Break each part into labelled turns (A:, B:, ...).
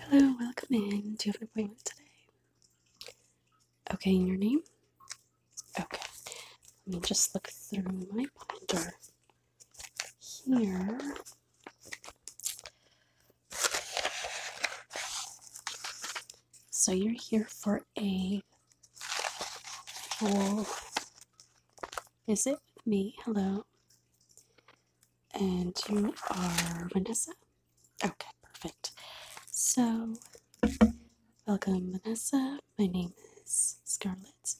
A: Hello, welcome in. Do you have an appointment today? Okay, your name? Okay. Let me just look through my binder here. So you're here for a full visit with me. Hello. And you are Vanessa? Okay, perfect. So, welcome, Vanessa. My name is Scarlett,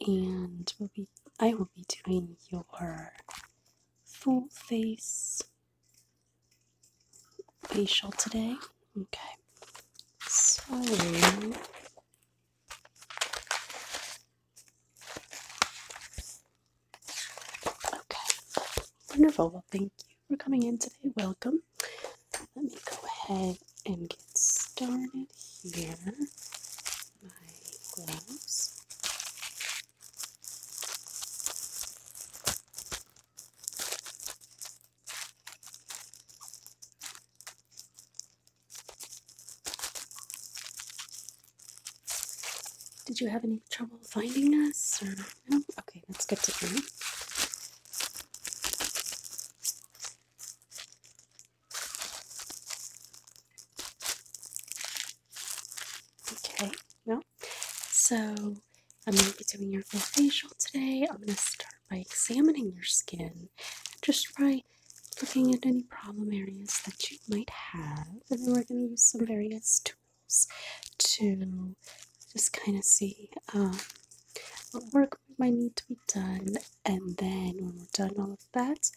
A: and we'll be, I will be doing your full face facial today. Okay, so Okay, wonderful. Well, thank you for coming in today. Welcome. Let me go ahead and get started here. My gloves. Did you have any trouble finding us? Or no? Okay, that's good to hear. Okay, well, so I'm going to be doing your facial today. I'm going to start by examining your skin, just by looking at any problem areas that you might have and then we're going to use some various tools to just kind of see um, what work might need to be done. And then when we're done all of that,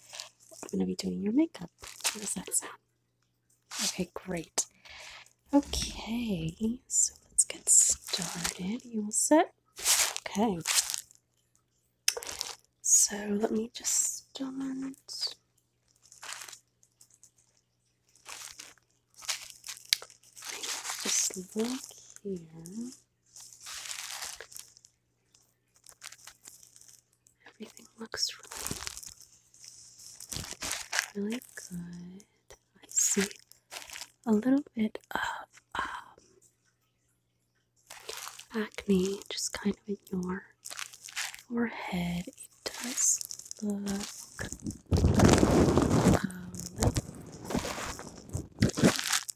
A: I'm going to be doing your makeup. does that sound? Okay, great. Okay, so let's get started. You will set? Okay. So let me just Just look here. Everything looks really, really good. I see a little bit of um, acne just kind of at your forehead, it does look um,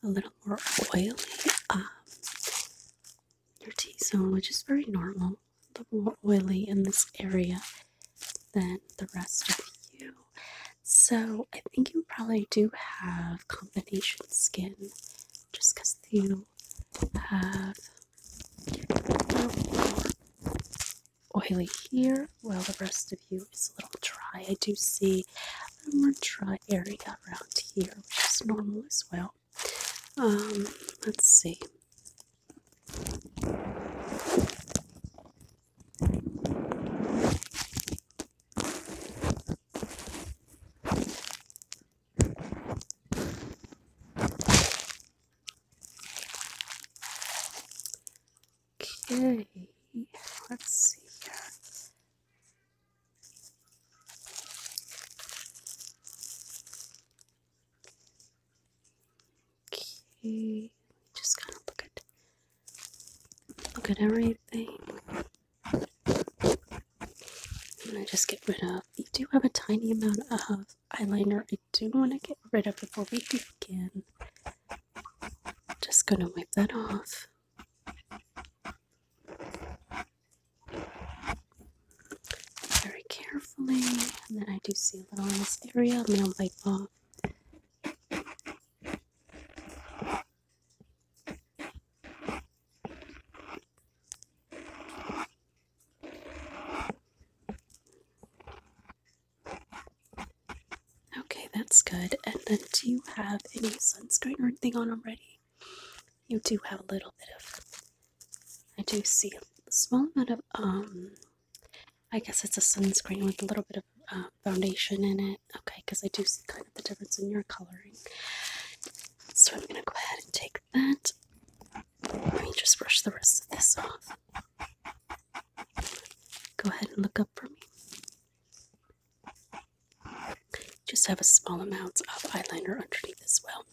A: a little more oily um, your t-zone which is very normal a little more oily in this area than the rest of you so i think you probably do have combination skin just because you have oily here while the rest of you is a little dry. I do see a more dry area around here, which is normal as well. Um, let's see. Okay, let's see Okay, just kind of look at look at everything. I'm gonna just get rid of. I do have a tiny amount of eyeliner. I do want to get rid of before we begin. Just gonna wipe that off. Very carefully, and then I do see a little in this area. I'm gonna wipe off. Okay, that's good. And then do you have any sunscreen or anything on already? You do have a little bit of I do see a small amount of um I guess it's a sunscreen with a little bit of uh, foundation in it. Okay, because I do see kind of the difference in your coloring. So I'm gonna go ahead and take that. Let me just brush the rest of this off. Go ahead and look up for me. Just have a small amount of eyeliner underneath as well.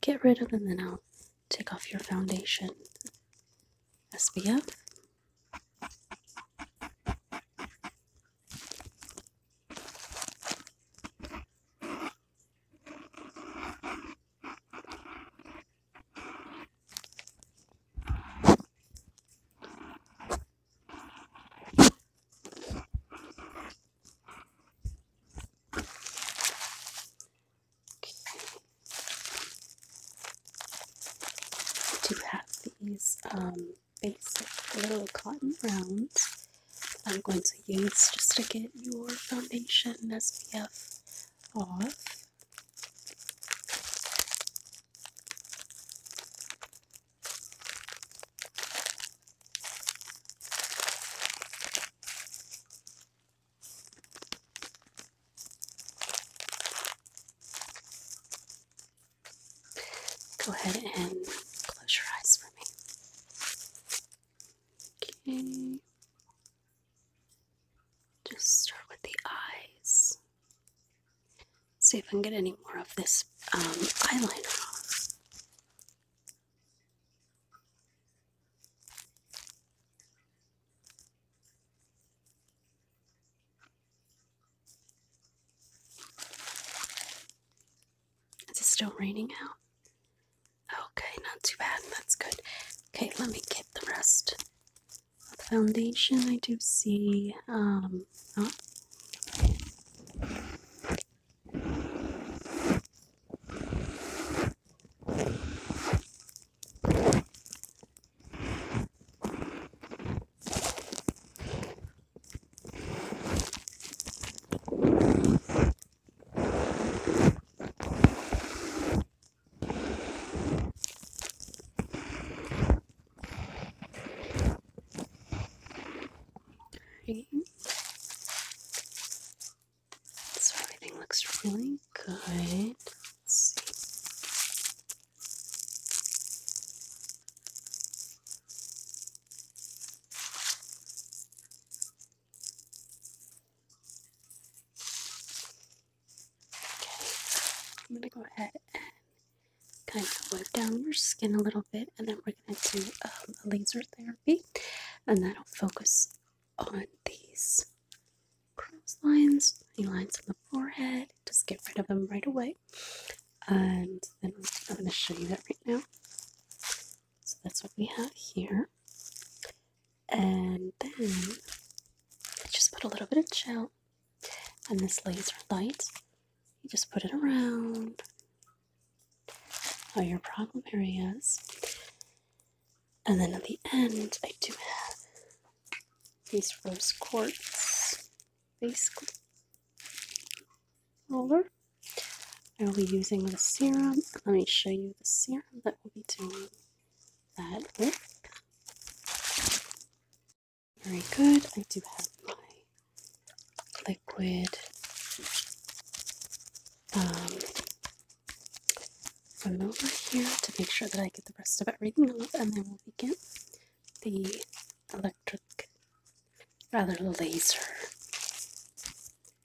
A: Get rid of, them, and then I'll take off your foundation. SPF do have these um, basic little cotton rounds I'm going to use just to get your foundation SPF off. Go ahead and close your eyes for me. Okay. Just start with the eyes. See if I can get any more of this um, eyeliner off. Is it still raining out? Okay, not too bad. That's good. Okay, let me get the rest. foundation, I do see. Um, oh. Okay. So everything looks really good. Let's see. Okay, I'm going to go ahead and kind of wipe down your skin a little bit, and then we're going to do um, a laser therapy, and that'll focus on these crow's lines, the lines on the forehead. Just get rid of them right away, and then I'm going to show you that right now. So that's what we have here. And then I just put a little bit of gel on this laser light. You just put it around all your problem areas. And then at the end, I do have these rose quartz base roller. I'll be using the serum. Let me show you the serum that we will be doing that with. Very good. I do have my liquid um, from over here to make sure that I get the rest of everything and then we'll begin the electric, rather laser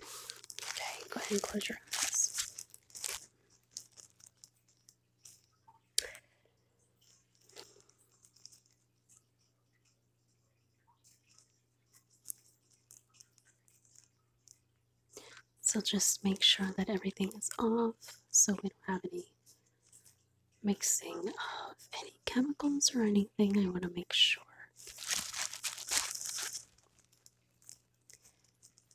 A: Okay, go ahead and close your eyes. So just make sure that everything is off so we don't have any mixing of any chemicals or anything. I want to make sure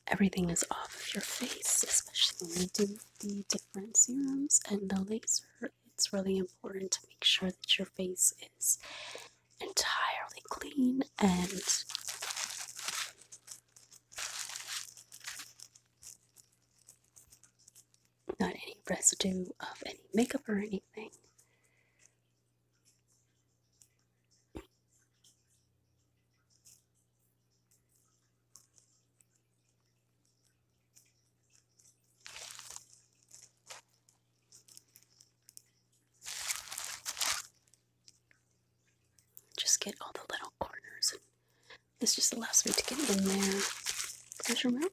A: everything is off of your face, especially when you do the different serums and the laser. It's really important to make sure that your face is entirely clean and not any residue of any makeup or anything. Just get all the little corners. This just allows me to get in there. Measure out.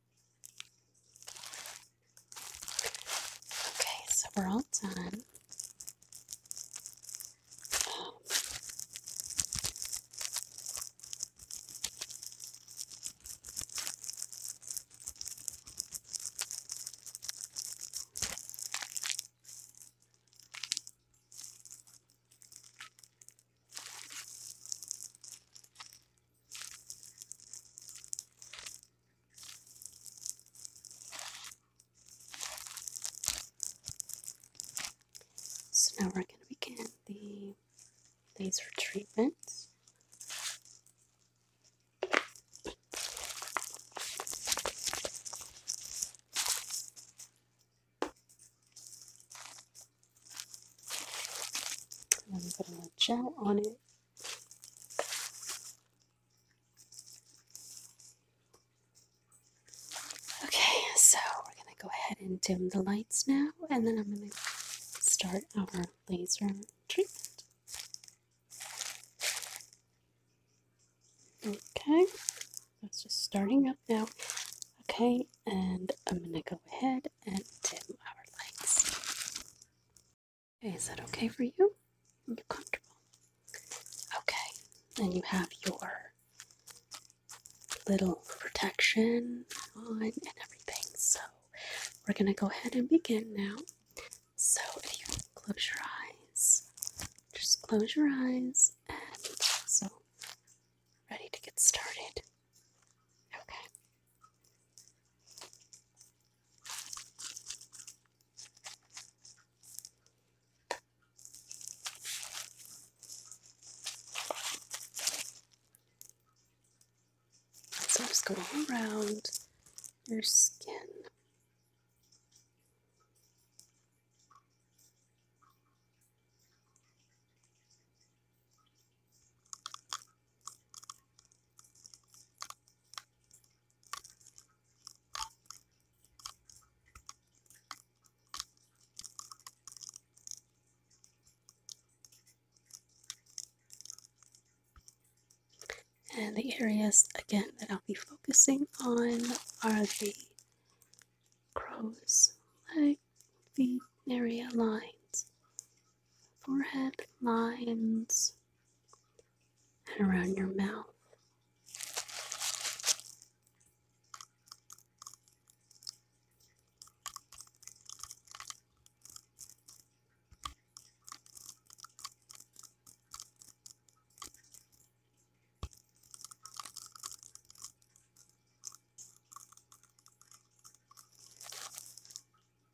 A: Okay, so we're all done. So now we're going to begin the laser treatment. And then we put a gel on it Okay, so we're going to go ahead and dim the lights now, and then I'm going to start our laser treatment. Okay, that's just starting up now. Okay, and I'm going to go ahead and dim our lights. Okay, is that okay for you? Are you comfortable? Okay, and you have your little protection on and everything. So we're gonna go ahead and begin now. So if you close your eyes, just close your eyes and so ready to get started. Okay. So I'm just going all around your skin. And the areas again that I'll be focusing on are the crow's leg, feet area lines, forehead lines, and around your mouth.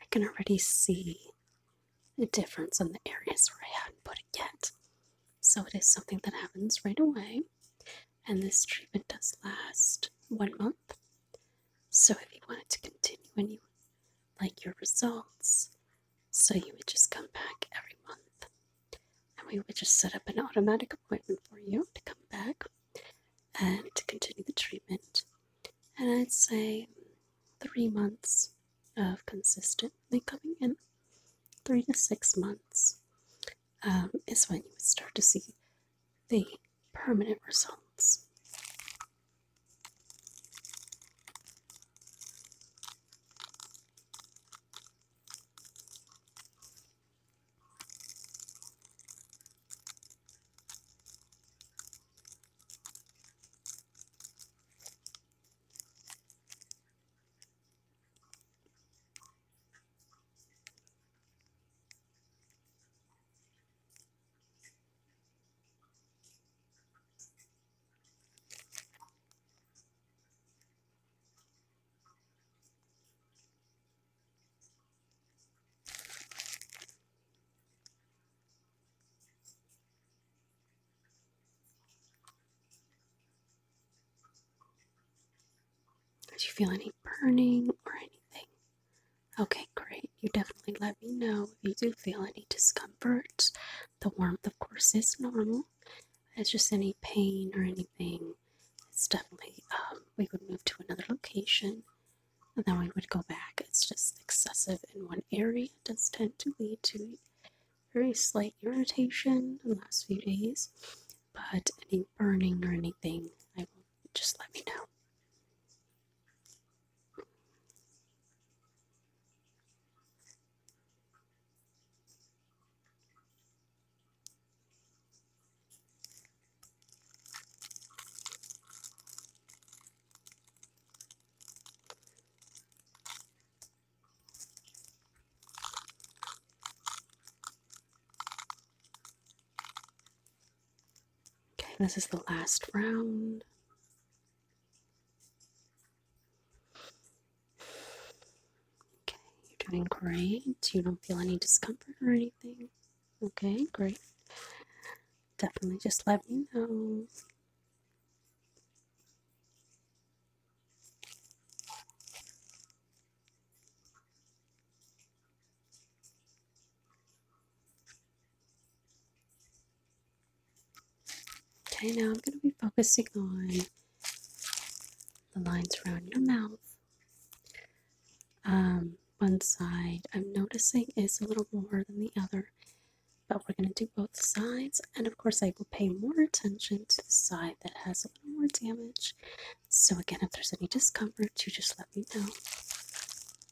A: I can already see the difference in the areas where I hadn't put it yet. So it is something that happens right away, and this treatment does last one month. So if you wanted to continue and you like your results, so you would just come back every month and we would just set up an automatic appointment for you to come back and to continue the treatment. And I'd say three months of consistently coming in, three to six months um, is when you would start to see the permanent results. Did you feel any burning or anything? Okay, great. You definitely let me know if you do feel any discomfort. The warmth, of course, is normal. It's just any pain or anything. It's definitely, um, we would move to another location and then we would go back. It's just excessive in one area. does tend to lead to very slight irritation in the last few days, but any burning or anything, I will just let me know. Okay, this is the last round. Okay, you're doing great. You don't feel any discomfort or anything. Okay, great. Definitely just let me know. Okay, now I'm going to be focusing on the lines around your mouth. Um, one side I'm noticing is a little more than the other, but we're going to do both sides. And of course, I will pay more attention to the side that has a little more damage. So, again, if there's any discomfort, you just let me know.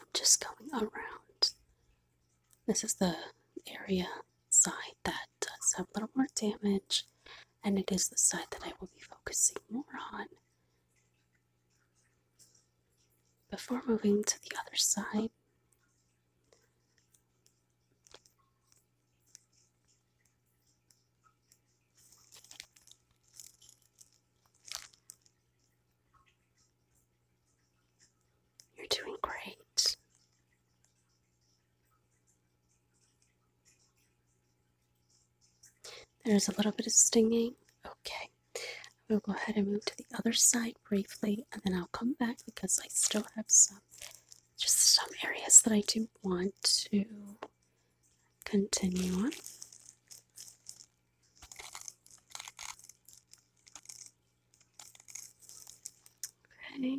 A: I'm Just going around. This is the area side that does have a little more damage, and it is the side that I will be focusing more on. Before moving to the other side, you're doing great. There's a little bit of stinging. Okay. We'll go ahead and move to the other side briefly, and then I'll come back because I still have some, just some areas that I do want to continue on. Okay.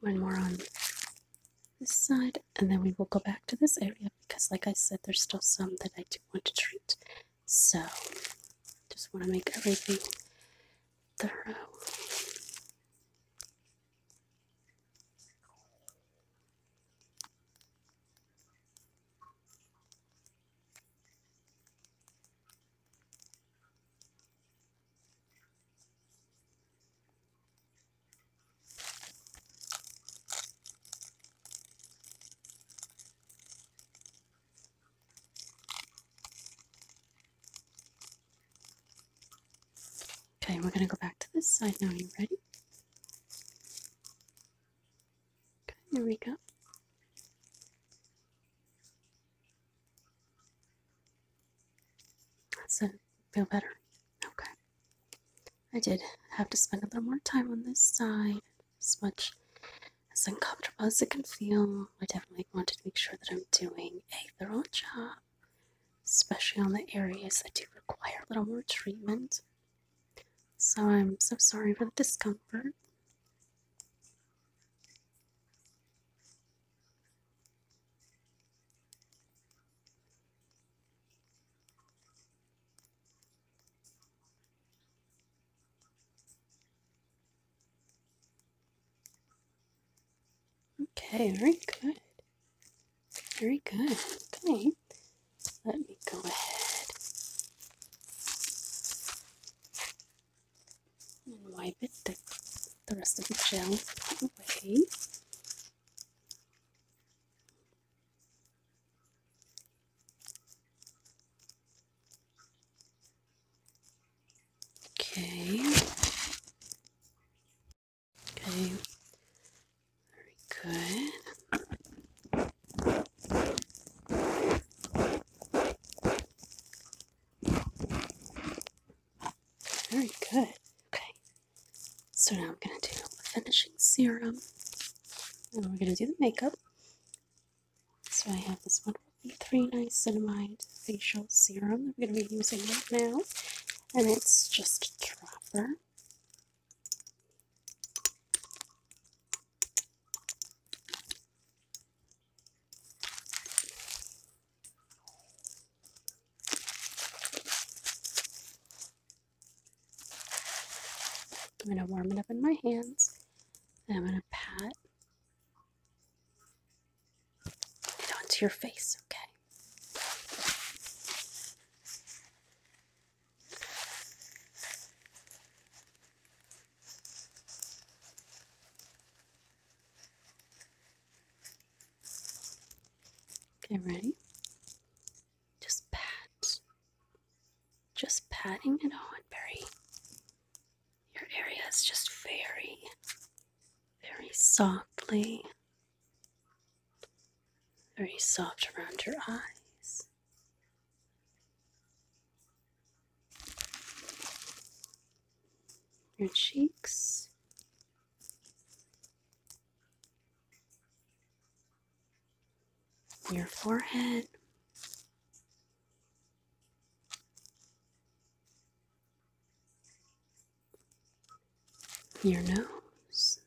A: one more on this side and then we will go back to this area because like I said there's still some that I do want to treat so just want to make everything thorough Okay, we're going to go back to this side now. Are you ready? Okay, here we go. That's should Feel better? Okay. I did have to spend a little more time on this side. As much as uncomfortable as it can feel, I definitely wanted to make sure that I'm doing a thorough job, especially on the areas that do require a little more treatment. So I'm so sorry for the discomfort. Okay, very good. Very good. Okay, let me go ahead and wipe it the, rest of the gel away. Okay. Okay. Very good. Very good. Okay. So now I'm going to do the finishing serum. And we're going to do the makeup. So I have this wonderful E3 Niacinamide Facial Serum that we're going to be using right now. And it's just a dropper. I'm going to warm it up in my hands and I'm going to pat it onto your face, okay? Okay, ready? Just pat. Just patting it on very your area is just very very softly. Very soft around your eyes your cheeks. Your forehead, your nose,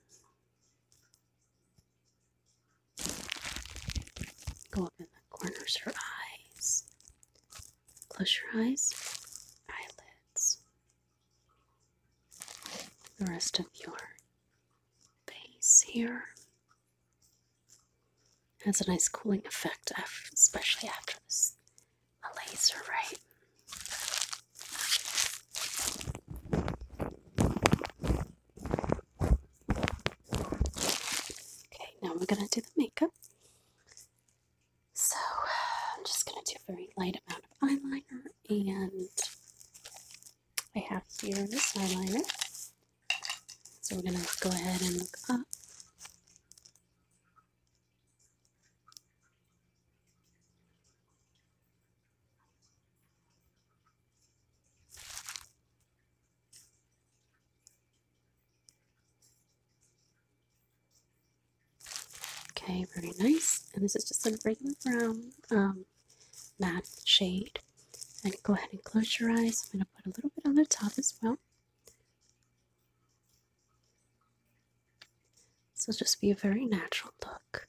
A: go up corners her eyes. Close your eyes, eyelids, the rest of your face here. Has a nice cooling effect, after, especially after this, a laser, right? Okay, now we're gonna do the makeup. So I'm just going to do a very light amount of eyeliner and I have here this eyeliner. So we're going to go ahead and look up. Okay, very nice. And this is just a regular brown um, matte shade. And go ahead and close your eyes. I'm going to put a little bit on the top as well. This will just be a very natural look.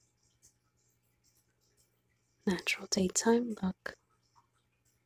A: Natural daytime look.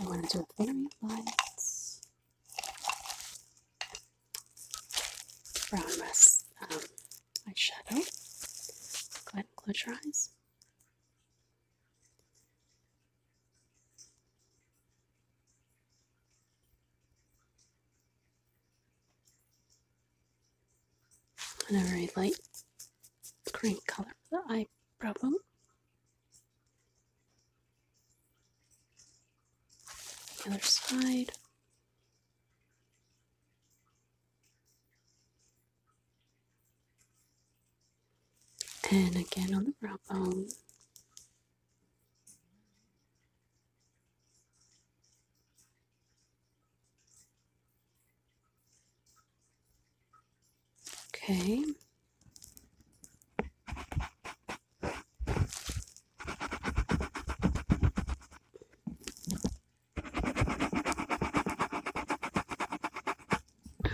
A: I want to do a very light. Brown rest um, eyeshadow. Go ahead and close your eyes. And a very light green color for the eye problem other side. And again on the brow bone. Okay.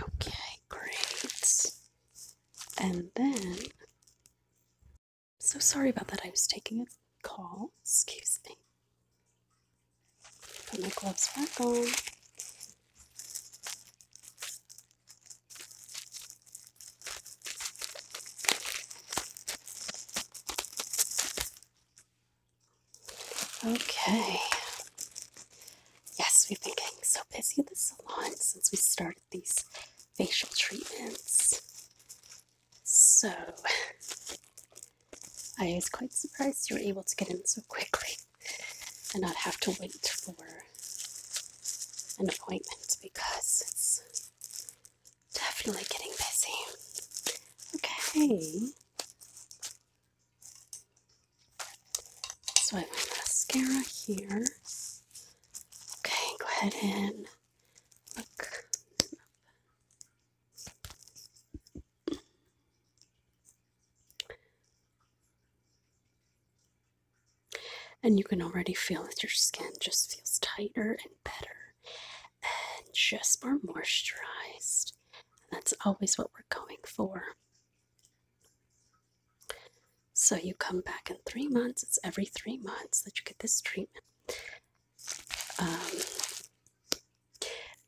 A: Okay, great. And then, so sorry about that. I was taking a call. Excuse me. Put my gloves back on. Okay. Yes, we've been getting so busy at the salon since we started these facial treatments. So, I was quite surprised you were able to get in so quickly and not have to wait for an appointment because it's definitely getting busy. Okay. So I have my mascara here. Okay, go ahead and look. And you can already feel that your skin just feels tighter and better and just more moisturized. that's always what we're going for. So you come back in three months. It's every three months that you get this treatment. Um,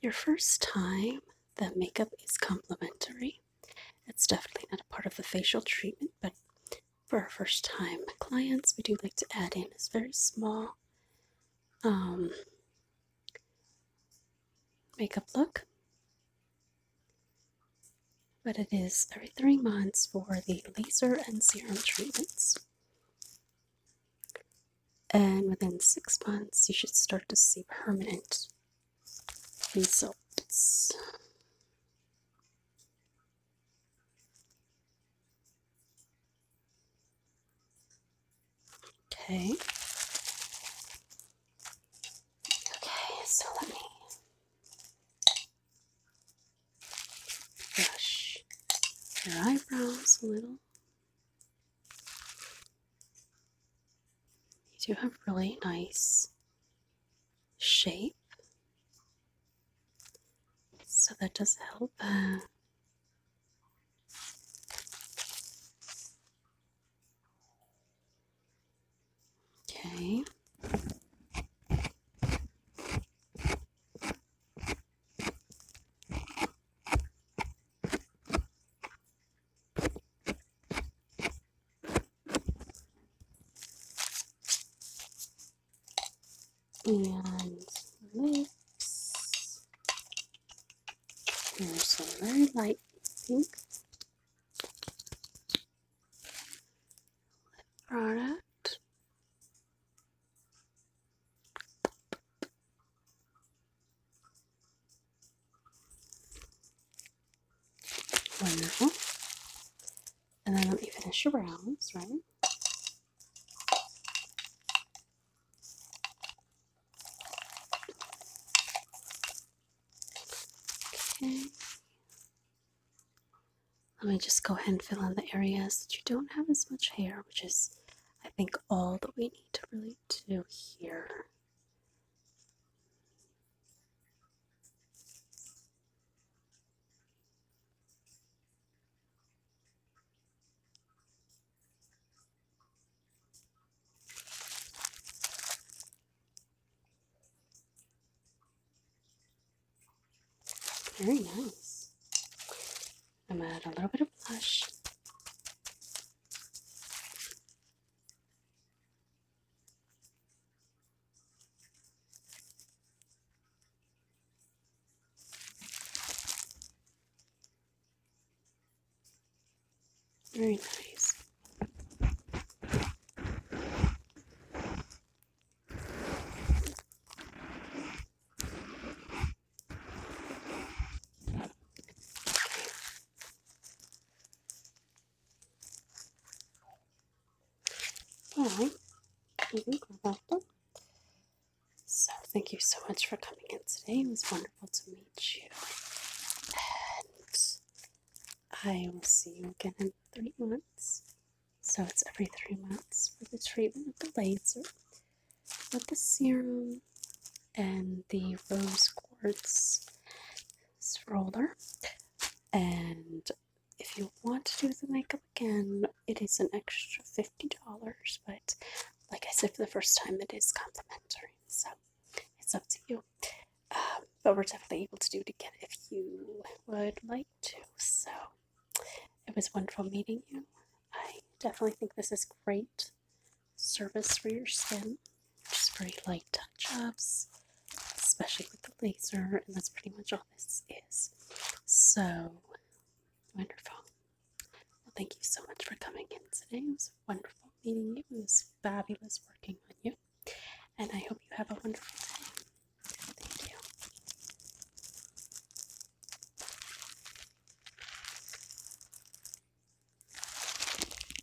A: your first time, the makeup is complimentary. It's definitely not a part of the facial treatment, but for our first time clients, we do like to add in this very small um, makeup look. But it is every three months for the laser and serum treatments. And within six months, you should start to see permanent results. Okay. Okay, so let me brush your eyebrows a little. You do have really nice shape. So that does help. Uh, okay and lips. Here's some very light pink lip product. Wonderful. And then let me finish your brows, right? Okay. Let me just go ahead and fill in the areas that you don't have as much hair, which is, I think, all that we need to really do here. Very nice. I'm gonna add a little bit of blush. Very nice. Okay. Well, I think we So, thank you so much for coming in today. It was wonderful to meet you. And I will see you again in three months. So, it's every three months for the treatment of the laser, with the serum, and the rose quartz, roller and if you want to do the makeup again it is an extra $50 but like i said for the first time it is complimentary so it's up to you um, but we're definitely able to do it again if you would like to so it was wonderful meeting you i definitely think this is great service for your skin just very light touch ups, especially with the laser, and that's pretty much all this is. So wonderful. Well, thank you so much for coming in today. It was wonderful meeting you. It was fabulous working on you. And I hope you have a wonderful day. Thank you.